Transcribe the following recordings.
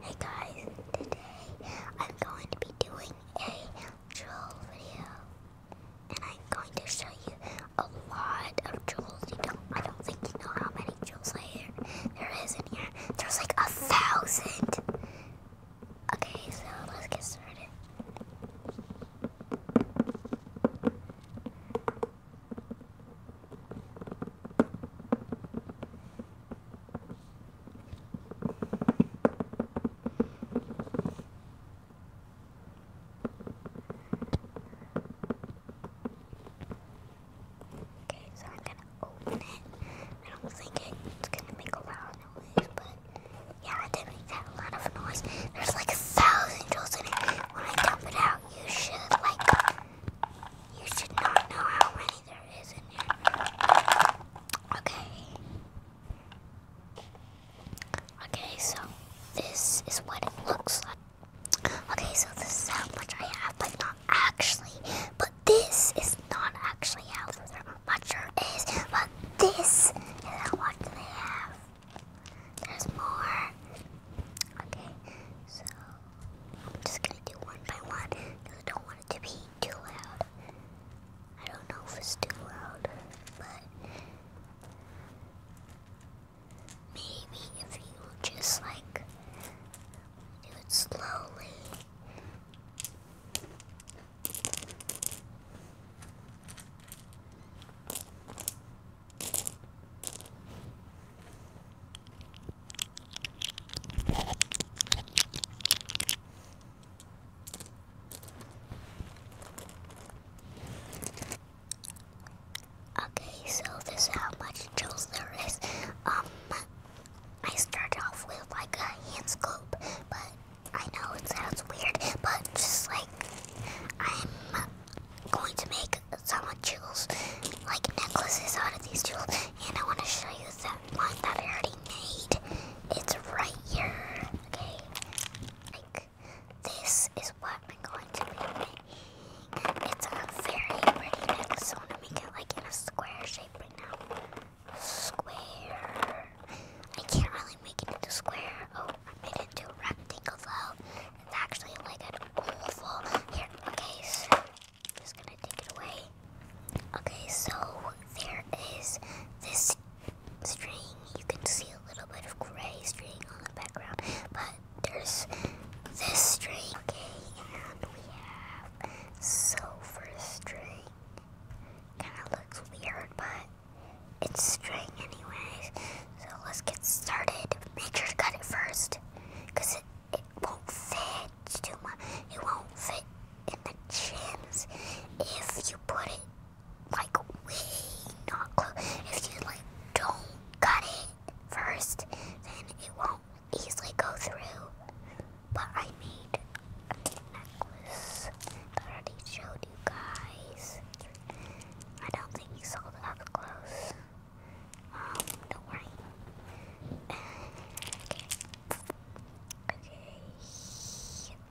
Hey guys, today I'm going to be doing a troll video, and I'm going to show you a lot of jewels. You don't, I don't think you know how many jewels trolls there there is in here. There's like a thousand. Okay, so let's get started. Okay, so I'm gonna open it. I don't think it's gonna make a loud noise, but yeah, it did make that lot of noise. There's like a thousand joules in it. When I dump it out, you should like you should not know how many there is in here. Okay. Okay, so this is what it looks like. Okay, so this is how much I have, but not actually. But this is not actually how much there is, but this is how much they have. There's more. Okay, so I'm just gonna do one by one I don't want it to be too loud. I don't know if it's too loud, but maybe if you just like do it slowly. Okay, so this is how much tools there is. Um, I started off with like a hand scoop, but I know it sounds weird, but just like I'm going to make some jewels, like necklaces out of these jewels, and I want to show you that one that I already made. It's right here, okay? Like, this is what I'm going to be making. It's a very pretty necklace, so I'm going make it like in a square shape right now. Square. I can't really make it into square. Oh, I made it into a rectangle though. It's actually like an awful. Here, okay, so just gonna take it away. Okay, so there is this string. You can see a little bit of gray string on the background, but there's this string. Okay, and we have silver string. Kind of looks weird, but it's string anyways. So let's get started. Make sure to cut it first, because it, it won't fit too much. It won't fit in the chins if you put it like way not close. If you like don't cut it first, then it won't easily go through. But I made a necklace I already showed you guys. I don't think you saw the up close. Um, don't worry. okay. Okay.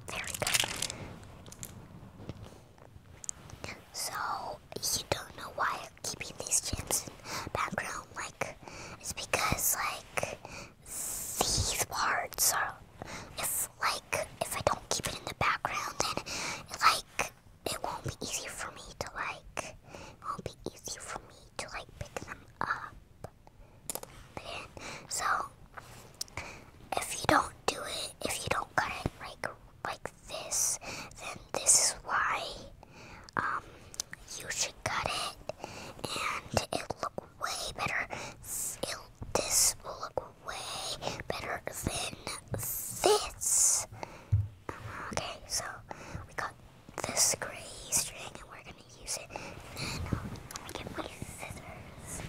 There we go. So, you don't know why I'm keeping these gems in background, like, it's because, like, these parts are, It's like, if I don't keep it in the background, then, like, it won't be easy for me to like, won't be easy for me to like pick them up. Then, so, if you don't do it, if you don't cut it like, like this, then this is why, um, you should cut it, and it look way better, it this will look way better than this. Okay, so we got this gray string and we're gonna use it. And then um, get my scissors.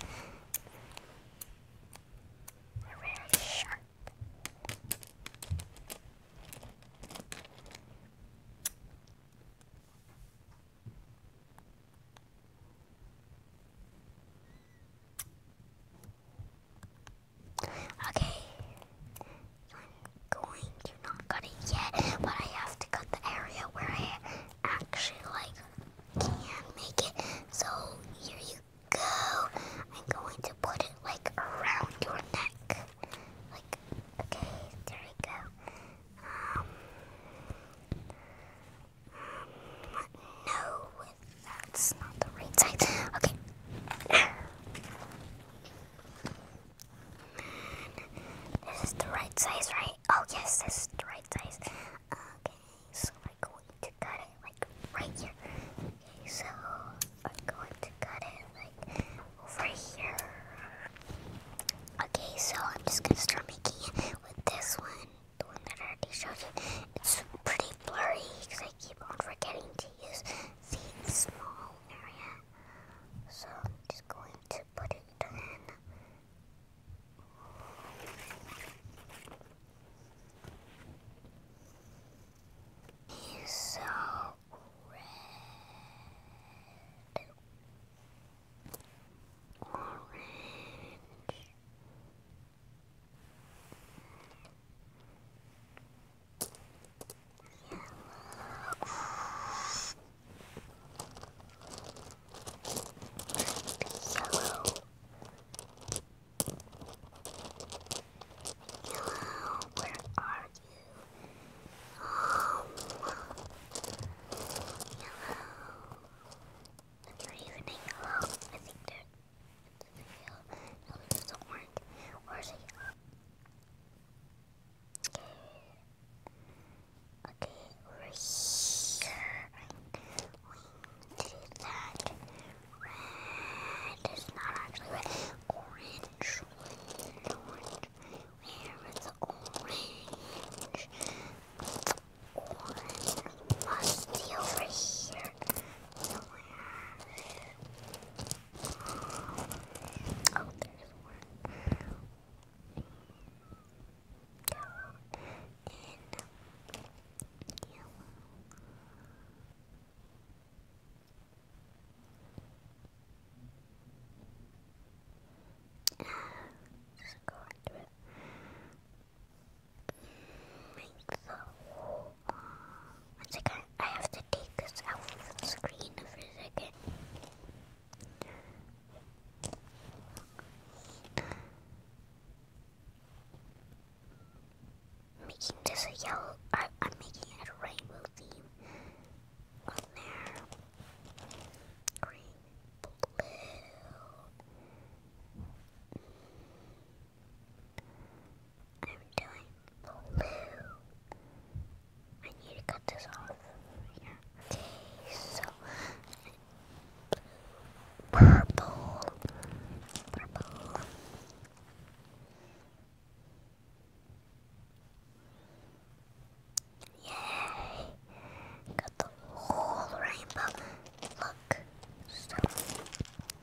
They're really sharp. Okay. I'm going to not cut it yet, but I have to cut the area where I actually like can make it. So here you go. I'm going to put it like around your neck. Like okay, there we go. Um, um no that's not the right size. Okay. This is the right size, right? Oh, yes, this is the right size. Okay, so I'm going to cut it like right here. Okay, so we're going to cut it like over here. Okay, so I'm just gonna start making it with this one, the one that I already showed you. It's pretty blurry because I keep on forgetting to to use the small area. So I'm just going to put it in. He's so red. Orange where are you? Um, hello. i you can hang along. I think they feel. No, this not Where is he? Okay. Okay, we're here. We did that. Red is not actually red. Orange. Orange. Where is the orange? Orange must be over here. Oh, there's one. Go in yellow. Just go into it. Make the one second, I have to take this out of the screen for Making this a yellow, I, I'm making a rainbow theme on there. Green, blue. I'm doing blue. I need to cut this off. Yeah. So purple, purple. Yay! Got the whole rainbow. Look,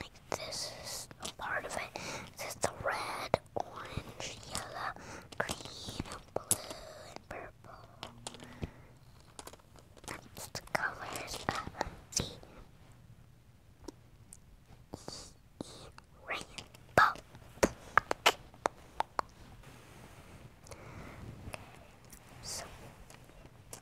Like this is a part of it. This is the red, orange, yellow, green, blue, and purple. That's the colors of the rainbow. So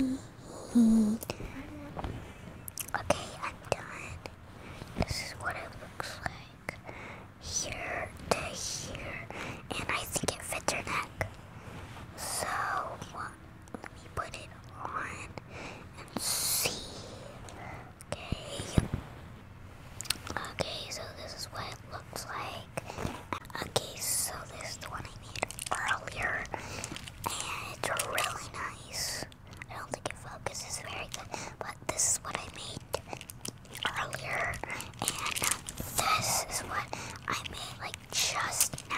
Right Okay. Yeah. Okay, I'm done. This is what it looks like. Here to here. And I think it fits her neck. So, let me put it on and see. Okay. Okay, so this is what it looks like. Okay, so this is the one I made earlier. And it's really nice. I don't think it focuses very good, but this is what I made earlier. And this is what I made like just now.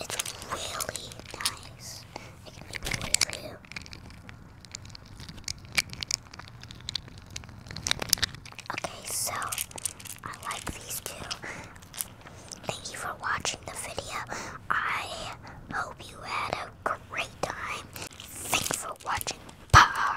It's really nice. Okay, so I like these two. Thank you for watching the video. I hope you had a great time. Thanks for watching. Bye.